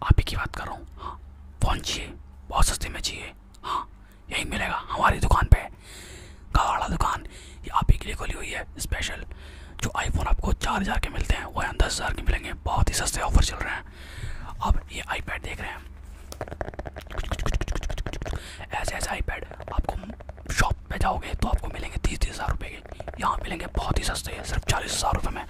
आप ही की बात कर रहा हूँ हाँ बहुत सस्ते में चाहिए हाँ यही मिलेगा हमारी दुकान पे कवाड़ा दुकान ये आप ही के लिए खुली हुई है स्पेशल जो आईफोन आपको चार हज़ार के मिलते हैं वह दस हज़ार के मिलेंगे बहुत ही सस्ते ऑफर चल रहे हैं अब ये आईपैड देख रहे हैं ऐसे ऐसे आई पैड आपको शॉप पे जाओगे तो आपको मिलेंगे तीस तीस हज़ार रुपये के यहाँ मिलेंगे बहुत ही सस्ते हैं सिर्फ चालीस हज़ार रुपये में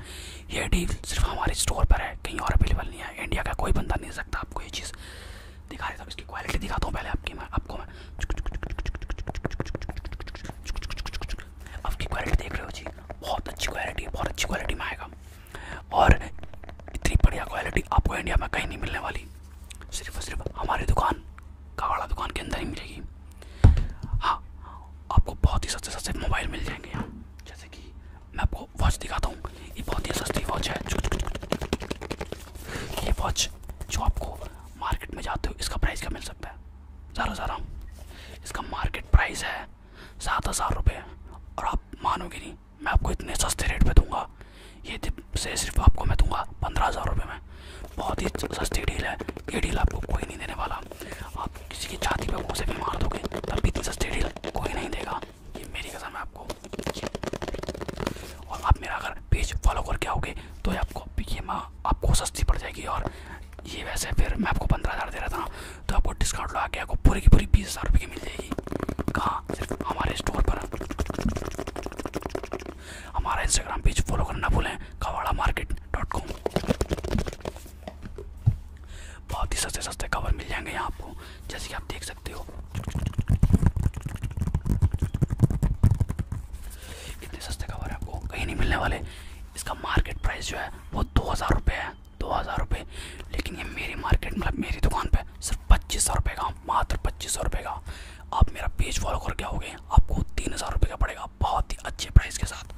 ये डील सिर्फ हमारे स्टोर पर है कहीं और अवेलेबल नहीं है इंडिया का कोई बंदा नहीं सकता आपको ये चीज़ दिखा देता हूँ इसकी क्वालिटी दिखाता हूँ पहले आपकी मैं आपको मैं आपकी क्वालिटी देख रहे हो जी बहुत अच्छी क्वालिटी बहुत अच्छी क्वालिटी में आएगा और इतनी बढ़िया क्वालिटी आपको इंडिया में कहीं नहीं मिलने वाली सिर्फ और सिर्फ हमारी दुकान कावाड़ा दुकान के अंदर ही मिलेगी हाँ आपको बहुत ही सस्ते सस्ते मोबाइल मिल जाएंगे यहाँ जैसे कि मैं आपको वॉच दिखाता हूँ ये बहुत ही सस्ती वॉच है ये वॉच जो आपको मार्केट में जाते हो इसका प्राइस क्या मिल सकता है ज़्यादा ज़्यादा इसका मार्केट प्राइस है सात हज़ार रुपये और आप मानोगे नहीं नहीं मैं आपको इतने सस्ते रेट पे दूंगा ये से सिर्फ आपको मैं दूंगा पंद्रह हज़ार रुपये में बहुत ही सस्ती डील है ये डील आपको कोई नहीं देने वाला आप किसी की छाती पर मुँह से भी मार दोगे तब भी इतनी सस्ती डील कोई नहीं देगा ये मेरी कसम है आपको और आप मेरा अगर पेज फॉलो करके आओगे तो ये आपको ये माँ आपको सस्ती पड़ जाएगी और ये वैसे फिर मैं आपको पंद्रह हज़ार दे रहा था तो आपको डिस्काउंट लगा के आपको पूरी की पूरी बीस हज़ार रुपये की मिल जाएगी कहाँ सिर्फ हमारे स्टोर पर हमारा इंस्टाग्राम पेज फॉलो करना भूलें कवाड़ा मार्केट डॉट कॉम बहुत ही सस्ते सस्ते कवर मिल जाएंगे यहाँ आपको जैसे कि आप देख सकते हो इतने सस्ते कवर आपको कहीं नहीं मिलने वाले इसका मार्केट प्राइस जो है वो दो हज़ार रुपये है दो हज़ार रुपये लेकिन ये मेरी मार्केट मतलब मेरी दुकान पे सिर्फ पच्चीस सौ रुपये का मात्र पच्चीस सौ रुपये का आप मेरा पेज फॉलो करके आओगे आपको तीन हज़ार रुपये का पड़ेगा बहुत ही अच्छे प्राइस के साथ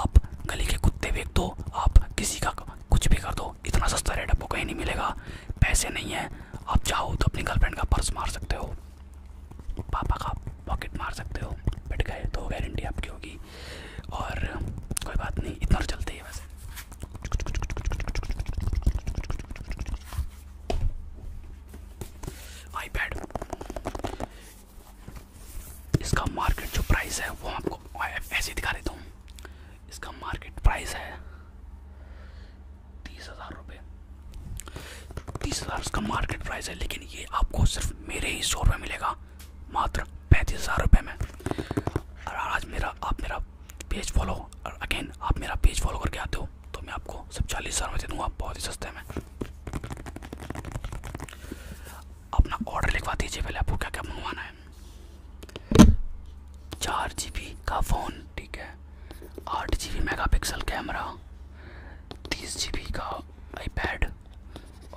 आप गली के कुत्ते बेच दो आप किसी का कुछ भी कर दो इतना सस्ता रेट आपको कहीं नहीं मिलेगा पैसे नहीं हैं आप चाहो तो अपनी गर्लफ्रेंड का पर्स मार सकते हो पापा का पॉकेट मार सकते हो बैठ गए तो गारंटी आपकी होगी और कोई बात नहीं इतना तो चलते ही वैसे आईपैड इसका मार्केट जो प्राइस है वो आपको ऐसे दिखा देता हूँ इसका मार्केट प्राइस है तीस हज़ार रुपये तीस हज़ार इसका मार्केट प्राइस है लेकिन ये आपको सिर्फ मेरे ही स्टोर में मिलेगा मात्र पैंतीस हज़ार रुपये में और आज मेरा आप मेरा पेज फॉलो और अगेन आप मेरा पेज फॉलो करके आते हो तो मैं आपको सिर्फ चालीस हज़ार में दे दूँगा बहुत ही सस्ते में अपना ऑर्डर लिखवा दीजिए पहले आपको क्या क्या मंगवाना है चार जी बी का फ़ोन ठीक है आठ G B megapixel camera तीस जी बी का आई पैड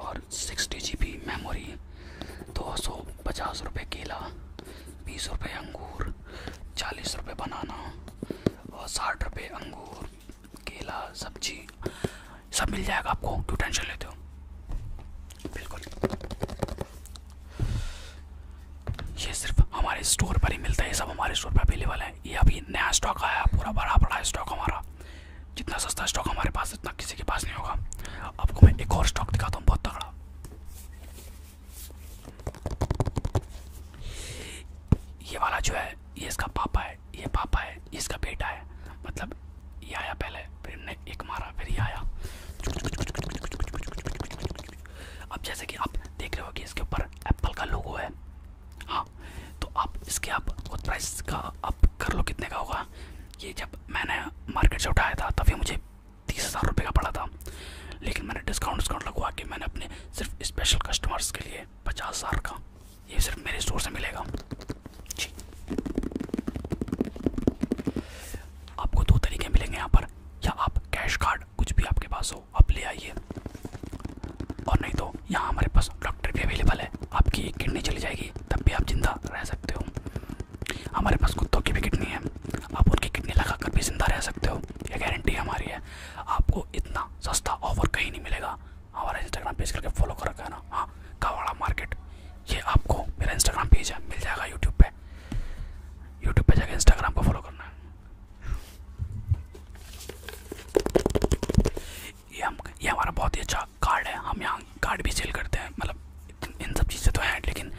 और सिक्सटी जी बी मेमोरी दो सौ पचास रुपये केला बीस रुपये अंगूर चालीस रुपये बनाना और साठ रुपये अंगूर केला सब्जी सब मिल जाएगा आपको क्यों टेंशन लेते हो बिल्कुल ये सिर्फ हमारे स्टोर पर ही मिलता है सब हमारे स्टोर पर अवेलेबल है है ये अभी नया स्टॉक आया पूरा बड़ा बड़ा स्टॉक हमारा जितना सस्ता स्टॉक हमारे पास इतना किसी के पास नहीं होगा आपको मैं एक और स्टॉक दिखाता हूँ बहुत तगड़ा ये वाला जो है ये इसका पापा है ये पापा है ये इसका बेटा है मतलब ये आया पहले फिर इनने एक मारा फिर ये आया अब जैसे कि आप देख रहे हो कि इसके ऊपर एप्पल का लोगो है हाँ तो आप इसके आप खुद प्राइस का आप कर लो कितने का होगा ये जब मैंने मार्केट से उठाया था तभी मुझे तीस हज़ार रुपये का पड़ा था लेकिन मैंने डिस्काउंट डिस्काउंट लगवा के मैंने अपने सिर्फ स्पेशल कस्टमर्स के लिए पचास हज़ार का ये सिर्फ मेरे स्टोर से मिलेगा जी आपको दो तरीके मिलेंगे यहाँ पर या आप कैश कार्ड कुछ भी आपके पास हो हो आप ले आइए और नहीं तो यहाँ हमारे पास डॉक्टर भी अवेलेबल है आपकी एक किडनी चली जाएगी तब भी आप जिंदा रह सकते हो हमारे पास कुत्तों की भी किडनी है आप उनकी किडनी लगा कर भी जिंदा रह सकते हो यह गारंटी हमारी है आपको इतना सस्ता ऑफर कहीं नहीं मिलेगा हमारा इंस्टाग्राम पेज करके फॉलो कर रखा है ना हाँ कावाड़ा मार्केट ये आपको मेरा इंस्टाग्राम पेज है मिल जाएगा यूट्यूब पर यूट्यूब पर जाकर इंस्टाग्राम को फॉलो करना है ये हम ये हमारा बहुत ही अच्छा कार्ड है हम यहाँ कार्ड भी सेल करते हैं मतलब इन सब चीज़ें तो हैं लेकिन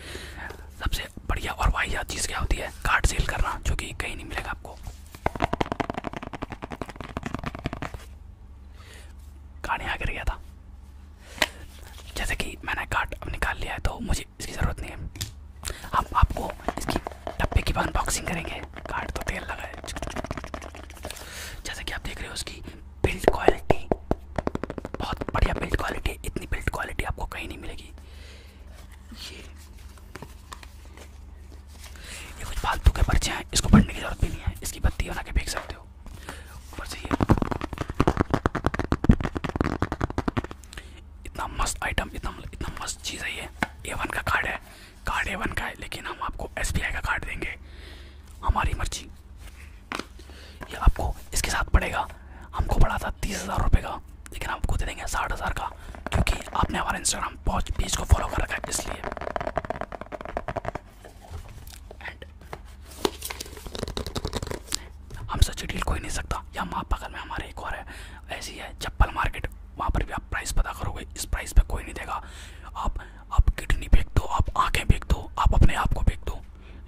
सबसे बढ़िया और वाहियात चीज़ क्या होती है कार्ड सेल करना जो कि कहीं नहीं मिलेगा आपको कार्ड यहाँ गिर गया था जैसे कि मैंने कार्ड निकाल लिया है तो मुझे इसकी इसकी ज़रूरत नहीं है हम आपको इसकी डब्बे की अनबॉक्सिंग करेंगे कार्ड तो तेल लगा है जैसे कि आप देख रहे हो उसकी बिल्ड क्वालिटी बहुत बढ़िया बिल्ड क्वालिटी इतनी बिल्ड क्वालिटी आपको कहीं नहीं मिलेगी ये ये कुछ फालतू के पर्चे हैं इसको पढ़ने की ज़रूरत भी नहीं है इसकी बत्ती बना के फेंक सकते हो ऊपर से ये इतना मस्त आइटम इतना मतलब, इतना मस्त चीज़ है ये ए वन का कार्ड है कार्ड ए वन का है लेकिन हम आपको एस बी आई का कार्ड देंगे हमारी मर्जी ये आपको इसके साथ पड़ेगा हमको पड़ा था तीस हज़ार रुपये का लेकिन आपको दे देंगे साठ हज़ार का क्योंकि आपने हमारा इंस्टाग्राम पॉच पेज को फॉलो कर रखा है इसलिए एंड हमसे चिड़ील कोई नहीं सकता या माँ बगल में हमारे एक और है ऐसी है चप्पल मार्केट वहाँ पर भी आप प्राइस पता करोगे इस प्राइस पे कोई नहीं देगा आप आप किडनी फेंक दो आप आंखें फेंक दो आप अपने आप को फेंक दो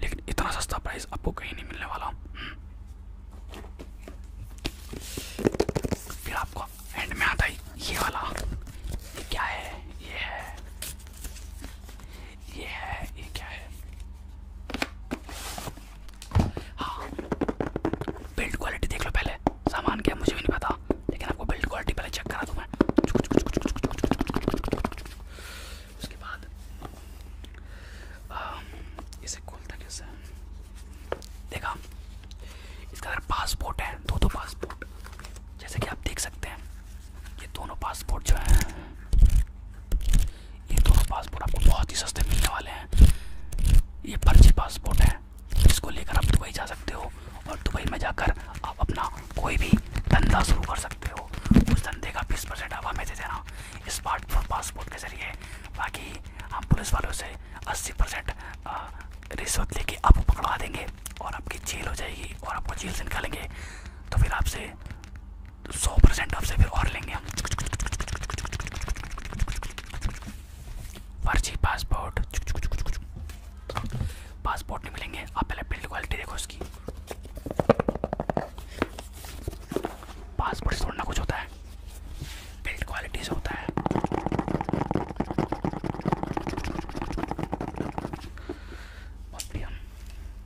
लेकिन इतना सस्ता प्राइस आपको कहीं नहीं मिलने वाला हम्म। फिर आपको एंड में आता है ये वाला ये क्या है ये है Yeah, you क्या है हाँ बिल्ड क्वालिटी देख लो पहले सामान क्या मुझे भी नहीं पता लेकिन आपको बिल्ड क्वालिटी पहले चेक करा दूँ मैं उसके बाद आ, इसे खोलता कैसे देखा इसका अगर पासपोर्ट है दो दो पासपोर्ट जैसे कि आप देख सकते हैं ये दोनों पासपोर्ट जो हैं ये दोनों पासपोर्ट आपको बहुत ही सस्ते मिलने वाले हैं ये फर्जी पासपोर्ट है इसको लेकर आप दुबई जा सकते हो और दुबई में जाकर आप अपना कोई भी धंधा शुरू कर सकते हो उस धंधे का बीस परसेंट आप हमें दे देना स्मार्टफोन पासपोर्ट के ज़रिए बाकी हम पुलिस वालों से अस्सी परसेंट रिश्वत लेके आपको पकड़वा देंगे और आपकी जेल हो जाएगी और आपको जेल से निकालेंगे तो फिर आपसे सौ परसेंट आपसे फिर और लेंगे हम फर्जी पासपोर्ट पासपोर्ट नहीं मिलेंगे आप पहले बिल्ड क्वालिटी देखो उसकी पासपोर्ट से थोड़ा कुछ होता है बिल्ड क्वालिटी से होता है और फिर हम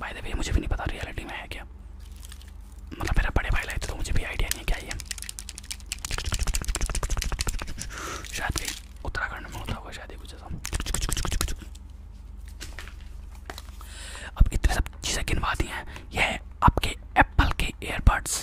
भाई द मुझे भी नहीं पता रियलिटी में है क्या मतलब मेरा बड़े भाई लाए तो मुझे भी आइडिया नहीं क्या ये शायद कहीं उत्तराखंड में होता होगा शायद कुछ ऐसा अब इतने सब चीज़ें गिनवा दी हैं यह है आपके एप्पल के एयरबड्स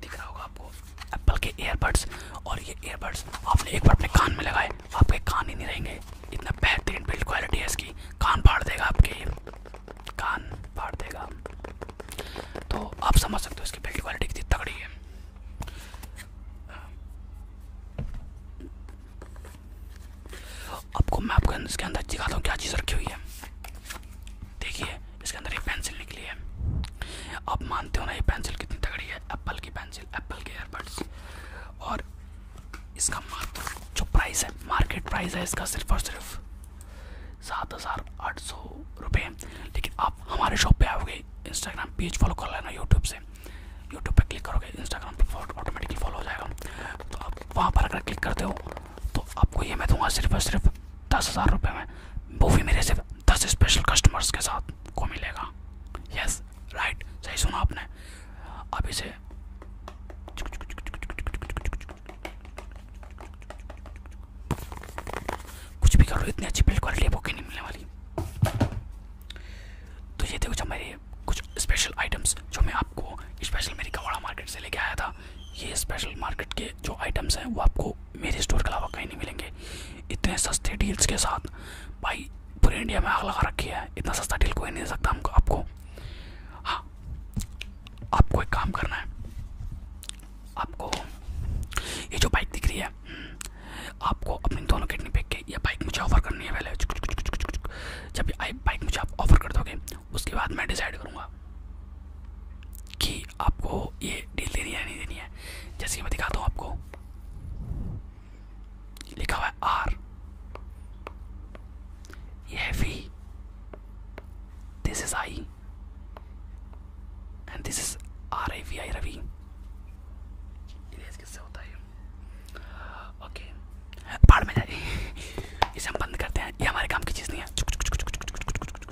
दिख रहा होगा आपको एप्पल के एयरबड्स और ये एयरबड्स आपने एक बार अपने कान में लगाए आपके कान ही नहीं रहेंगे इतना बेहतरीन बिल्ड क्वालिटी है इसकी कान फाड़ देगा आपके कान फाड़ देगा तो आप समझ सकते हो इसकी बिल्ड क्वालिटी कितनी तगड़ी है आपको मैं आपको इसके अंदर दिखाता हूँ क्या चीज़ रखी हुई है देखिए इसके अंदर एक पेंसिल निकली है आप मानते हो ना ये पेंसिल कितनी तगड़ी है एप्पल की पेंसिल एप्पल के एयरबड्स और इसका मात्र जो प्राइस है मार्केट प्राइस है इसका सिर्फ और सिर्फ सात हज़ार आठ सौ रुपये लेकिन आप हमारे शॉप पे आओगे इंस्टाग्राम पेज फॉलो कर लेना यूट्यूब से यूट्यूब पे क्लिक करोगे इंस्टाग्राम पे ऑटोमेटिकली फॉलो हो जाएगा तो आप वहाँ पर अगर क्लिक करते हो तो आपको ये मैं दूंगा सिर्फ और सिर्फ दस हज़ार रुपये में वो भी मेरे सिर्फ दस स्पेशल कस्टमर्स के साथ को मिलेगा यस राइट सही सुना आपने अब इसे कुछ भी करो इतनी अच्छी बिल्ड क्वालिटी बुक ही नहीं मिलने वाली तो ये देखो जब मेरे कुछ स्पेशल आइटम्स जो मैं आपको स्पेशल मेरी कवाड़ा मार्केट से लेके आया था ये स्पेशल मार्केट के जो आइटम्स हैं वो आपको मेरे स्टोर के अलावा कहीं नहीं मिलेंगे इतने सस्ते डील्स के साथ भाई पूरे इंडिया में आग लगा रखी है इतना सस्ता डील कोई नहीं दे सकता हमको आपको हाँ आपको एक काम करना है आपको ये जो बाइक दिख रही है आपको अपने दोनों किडनी पेक के ये बाइक मुझे ऑफर करनी है पहले जब ये बाइक मुझे आप ऑफर कर दोगे उसके बाद मैं डिसाइड करूँगा कि आपको ये डील देनी है नहीं देनी है जैसे कि मैं दिखाता हूँ आपको लिखा हुआ है आर ये है V this is I and this is R I V I Ravi किससे होता में जाए इसे हम बंद करते हैं ये हमारे काम की चीज़ नहीं है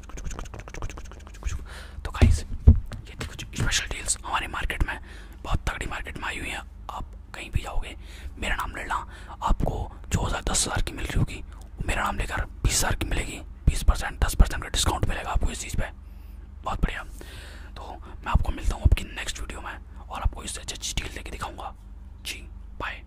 तो गाइस ये थी कुछ स्पेशल डील्स हमारे मार्केट में बहुत तगड़ी मार्केट में आई हुई है आप कहीं भी जाओगे मेरा नाम ले ला आपको जो हज़ार दस हज़ार की मिल रही होगी मेरा नाम लेकर बीस हज़ार की मिलेगी बीस परसेंट दस परसेंट का डिस्काउंट मिलेगा आपको इस चीज़ पर बहुत बढ़िया तो मैं आपको मिलता हूँ आपकी नेक्स्ट वीडियो में और आपको इससे अच्छी अच्छी डील लेके दिखाऊँगा जी बाय